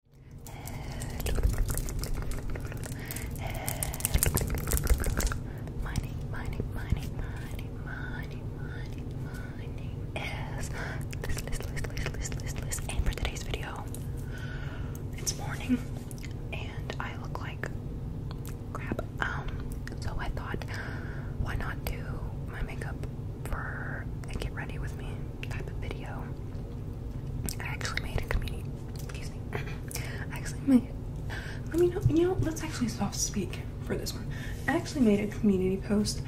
Hello. Hello. My name, my name, my name, my name, my name, my name, my and for today's video, it's morning, and I look like crap, um, so I thought, why not do my makeup for get ready with me type of video, I actually made a community. Excuse me. I actually made. Let me know. You know, let's actually soft speak for this one. I actually made a community post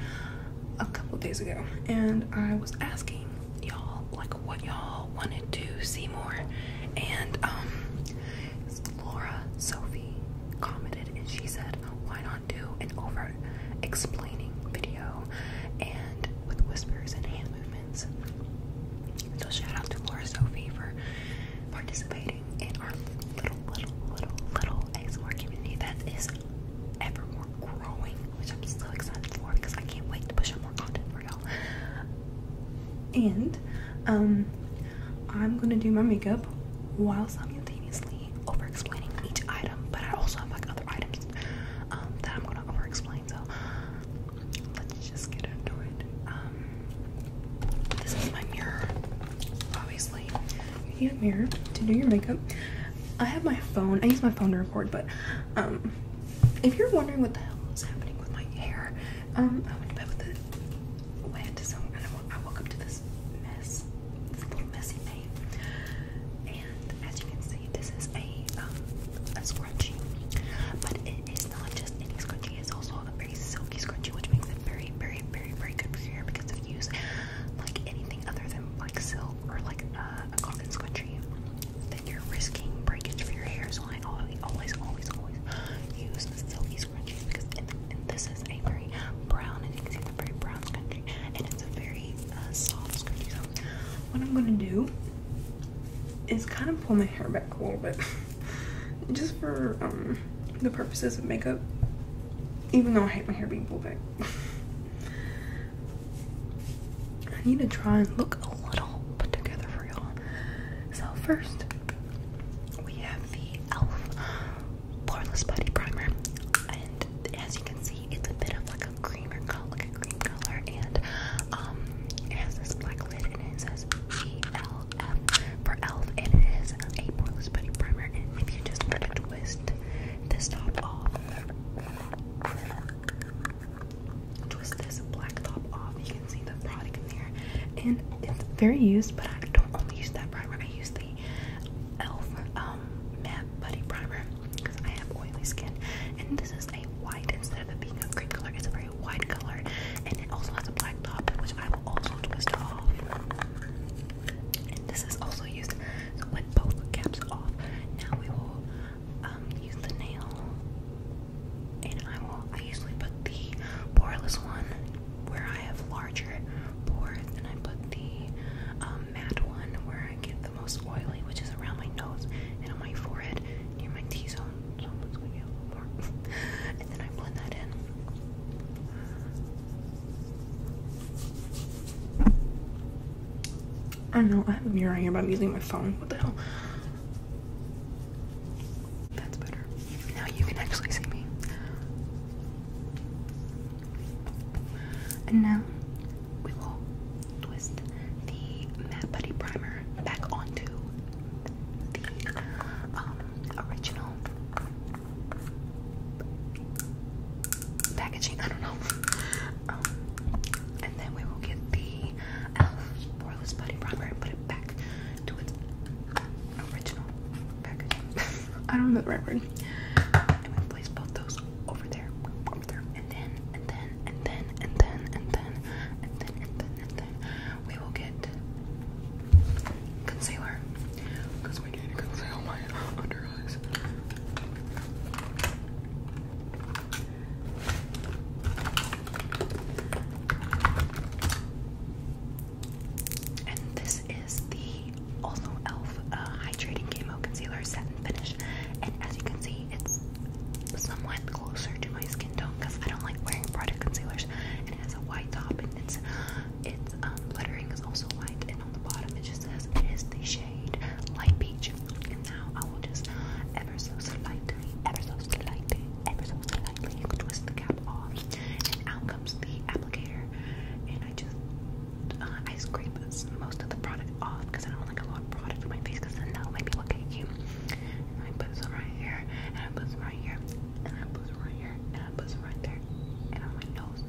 a couple days ago, and I was asking y'all like what y'all wanted to see more, and um, Laura Sophie commented and she said, "Why not do an over explaining video and with whispers and hand so shout out to Laura Sophie participating in our little, little, little, little ASMR community that is ever more growing, which I'm so excited for because I can't wait to push out more content for y'all. And um, I'm gonna do my makeup while simultaneously over explaining each item, but I also have like other items um, that I'm gonna over explain so let's just get into it. Um, this is my mirror, obviously. You need a mirror to do your makeup. I have my phone, I use my phone to record, but um, if you're wondering what the hell is happening with my hair, um, I went to bed with it wet, so I, woke up to this mess, this little messy thing. And as you can see, this is a um, a scrunchie, but it is not just any scrunchie. It's also a very silky scrunchie, which makes it very, very, very, very good for your hair because if you use like anything other than like silk or like uh, a cotton scrunchie, then you're risking breakage for your hair. So I always, always, always, always use the silky scrunchies because it, and this is a very brown, and you can see the very brown scrunchie, and it's a very uh, soft scrunchie. So what I'm gonna do it's kind of pulling my hair back a little bit just for um, the purposes of makeup even though I hate my hair being pulled back I need to try and look a little put together for y'all so first we have the e.l.f. poreless body primer and as you can see it's a bit of like a creamer color, like a cream color, and um, it has this black lid and it. it says ELF for ELF, and it is a poreless putty primer. And if you just twist this top off, twist this black top off, you can see the product in there, and it's very used, but I don't only use that primer, I use the ELF um, matte buddy primer because I have oily skin, and this is a white instead of it being a green color. It's a very white color, and it also has a black top, which I will also twist off. And this is also used so with both caps off. Now we will um, use the nail, and I will. I usually put the poreless one where I have larger pores, and I put the um, matte one where I get the most oily, which is around my nose and on my forehead near my T zone. I'm just and then I blend that in. I know, I have a mirror here, but I'm using my phone. What the hell? That's better. Now you can actually see me. And now we will twist the Matte Putty Primer back onto the um, original packaging. I don't know. Um, and then we will get the Elf Poreless Putty Primer and put it back to its original packaging. I don't know the And we place both those over there, over there, and then, and then, and then, and then, and then, and then, and then, and then, we will get concealer because we need to conceal my under eyes. And this is the also e.l.f. Uh, Hydrating Camo Concealer Satin Finish and as you can see, it's somewhat closer to my skin tone because I don't like wearing product concealers, and it has a white top, and it's its um, lettering is also white, and on the bottom it just says it is the shade light peach. And now I will just ever so slightly, ever so slightly, ever so slightly twist the cap off, and out comes the applicator, and I just uh, I scrape most of the product off because I don't want like a lot of product on my face because then that'll make me look I put some right here, and I put some right here, and I put some right here, and I put some right there, and on my nose,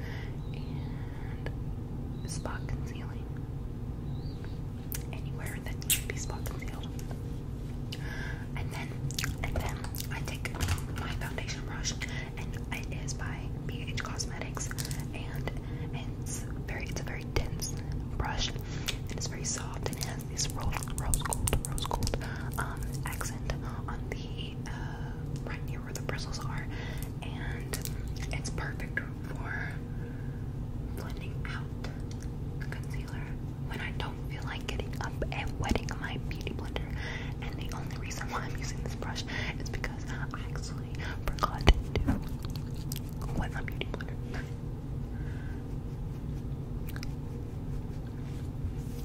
and spot concealing. Anywhere that should be spot concealed. And then, and then I take my foundation brush, and it is by BH Cosmetics, and it's very it's a very dense brush and it's very soft and it has this rose, rose gold rose gold um, accent on the uh, right near where the bristles are and it's perfect for blending out the concealer when I don't feel like getting up and wetting my beauty blender and the only reason why I'm using this brush is because I actually forgot to wet my beauty blender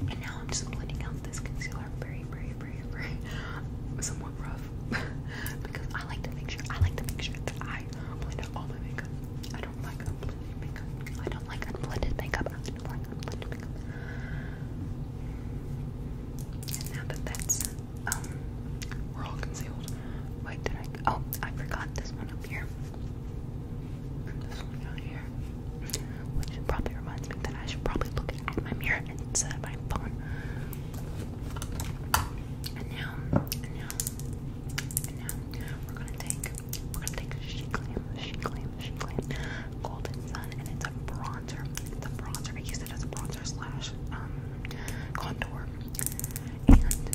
and now I'm just blending out this concealer very, very, very, very somewhat rough because I like to make sure I like to make sure that I blend out all my makeup. I don't like unblended makeup. I don't like blended makeup. I don't like unblended makeup. And now that that's um, we're all concealed. Wait, did I? Oh, I forgot this one up here. this one down here. Which probably reminds me that I should probably look at my mirror instead of my phone. And now, and now, and now, we're gonna take, we're gonna take She Glam, She Glam, She Glam, Golden Sun, and it's a bronzer. It's bronzer. I use it as a bronzer slash um, contour. And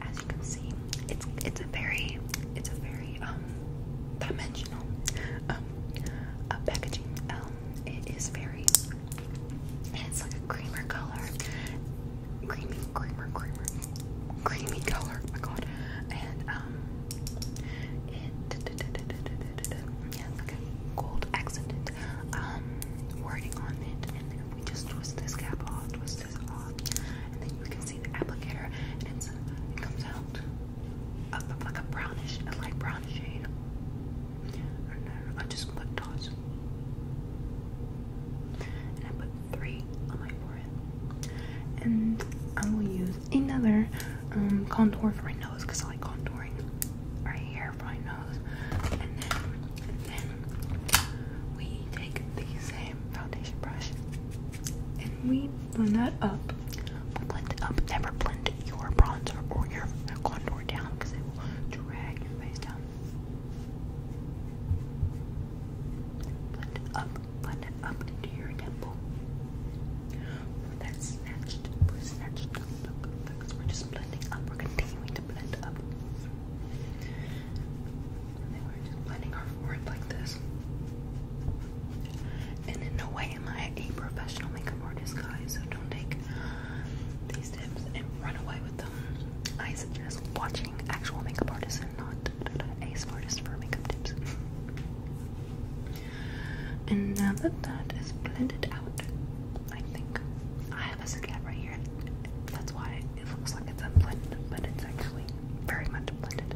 as you can see, it's it's a very it's a very um dimensional um packaging. Um, it is very it's like a creamer color, creamy creamer creamer creamy color. Oh my God, and um, it yeah, like a gold accented um wording on it we just twist this cap off, twist this off, and then you can see the applicator, and it's, it comes out of like a brownish, a light brown shade. And then I just put dots, and I put three on my forehead, and I will use another um, contour for my nose because I like contouring right here we take the same foundation brush and we blend that up. blend up. Never blend your bronzer or your contour down because it will drag your face down. Blend it up. Blend it up into your temple. For snatched, snatched we're just blending up. We're continuing to blend up. And then just blending our forehead like this. And in no way am I a professional makeup artist, guys, so don't take these tips and run away with them. I suggest watching actual makeup artists and not a smartest for makeup tips. and now that that is blended out, I think I have a Zucat right here. That's why it looks like it's unblended, but it's actually very much blended.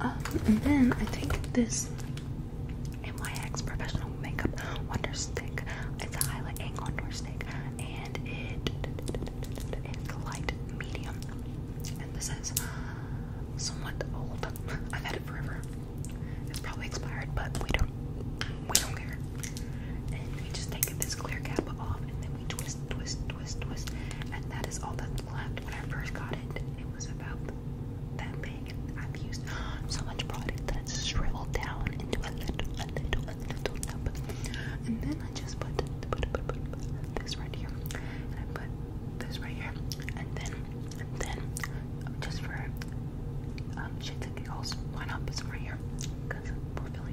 Um, and then I take this NYX Professional Makeup Wonder Stick. It's a highlight and contour stick, and it is light medium. And this is somewhat old. I've had it forever. It's probably expired, but we don't we don't care. And we just take this clear cap off and then we twist, twist, twist, twist. And that is all that's left. When I first got it, it was about that big. I've used so much product that it's shriveled down into a little, a little, a little nub. And then I just put, put, put, put, put this right here. And I put this right here. And then, and then, just for um, shits and giggles, why not put some right here? Because we're feeling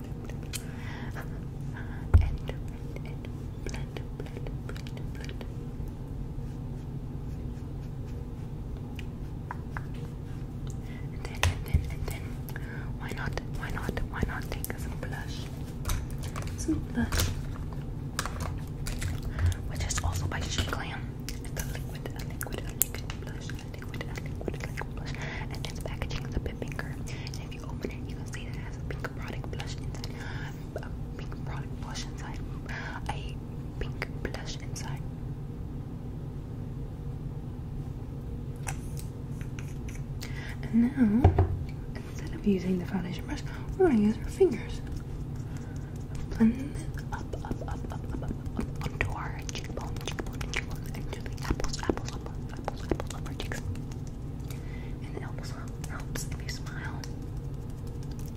and, and, then, and then, and then, why not, why not, why not take some blush? Some blush. Which is also by She Glam liquid, a liquid, and packaging is a bit pinker. And if you open it, you can see that has a pink product blush inside, a pink product blush inside, a pink blush inside. And now, instead of using the foundation brush, we're gonna use our fingers. Blend up, up, up, up, up, up, up, our cheekbone, cheekbone, cheekbone, and the apples, apples, apples, apples, apples on cheeks. And it helps, helps if you smile.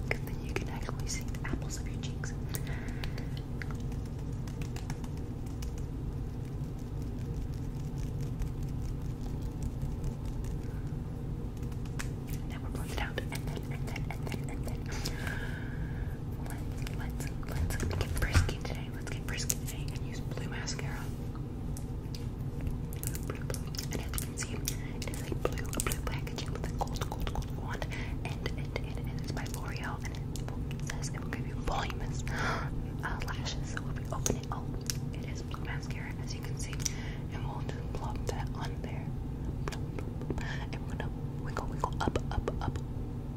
Because then you can actually see apples of your cheeks. Now we're blend it out, Let's, let's, let's get frisky today let's get frisky today and use blue mascara. And as you can see, it is a blue, blue packaging with a gold, gold, gold wand. And it, it, it is by L'Oreal, and it says it will give you voluminous uh, lashes. So if we open oh, it is blue mascara, as you can see. And we'll just plop that on there. And we're wiggle, wiggle, up, up, up,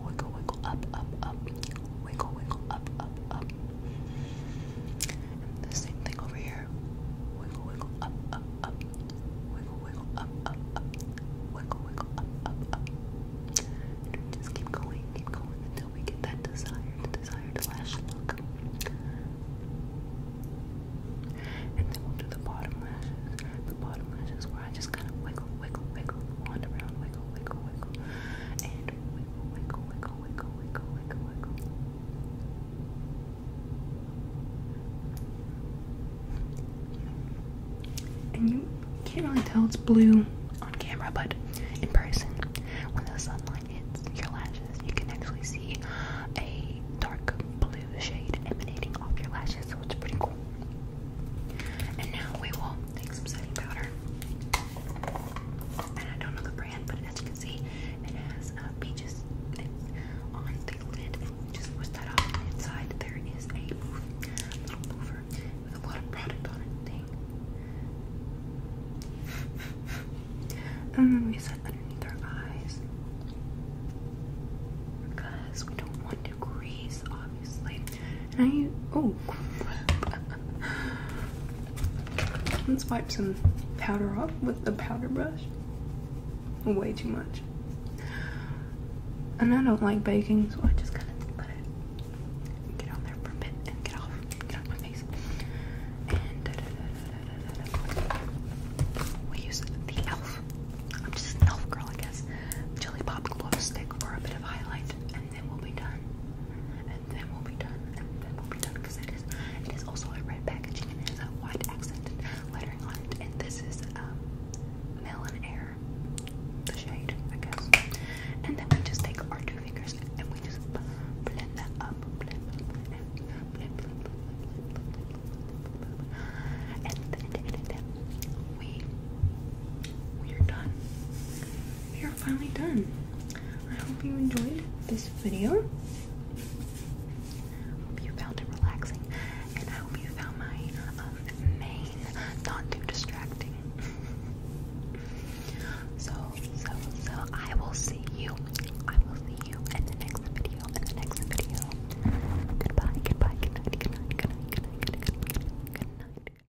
Wiggle, wiggle, up, up, up. Wiggle, wiggle, up, up, up. And the same thing over here. Wiggle, wiggle, up, up, up. Wiggle, wiggle, up, up, up. Wiggle, wiggle, up, up, up. And we just keep going, keep going until we get that desired, desired lash look. And then we'll do the bottom lashes. The bottom lashes where I just kind of wiggle, wiggle, wiggle, wand around, wiggle, wiggle, wiggle and wiggle, wiggle, wiggle, wiggle, wiggle, wiggle. And you can't really tell it's blue on camera, but in person, when the sunlight hits your lashes, you can actually see a dark blue shade emanating off your lashes, so it's pretty cool. And now we will take some setting powder. And I don't know the brand, but as you can see, it has uh, peaches on the lid. Just push that off. inside there is a little poofer with a lot of product on it. and then we set underneath our eyes because we don't want to grease, obviously. And I let's wipe some powder off with the powder brush. Way too much. And I don't like baking, so I just kind of let it get on there for a bit and get off, my face. And we use the elf. I'm just an elf girl, I guess. Jelly pop glow stick for a bit of highlight, and then we'll be done. And then we'll be done. And then we'll be done because it is it is also a red packaging and it has a white accented lettering on it. And this is um melon air, the shade, I guess. And then we just take our two fingers and we just blend that up. Blend, blend, blend, blend, blend, blend, blend, blend, blend, blend. And then, then, then, then we we are done we are finally done. I hope you enjoyed this video. hope you found it relaxing, and hope you found my um, not too distracting. so, so, so, I will see you. I will see you in the next video. In the next video. Goodbye. Goodbye. Good night. Good night. Good night. Good night.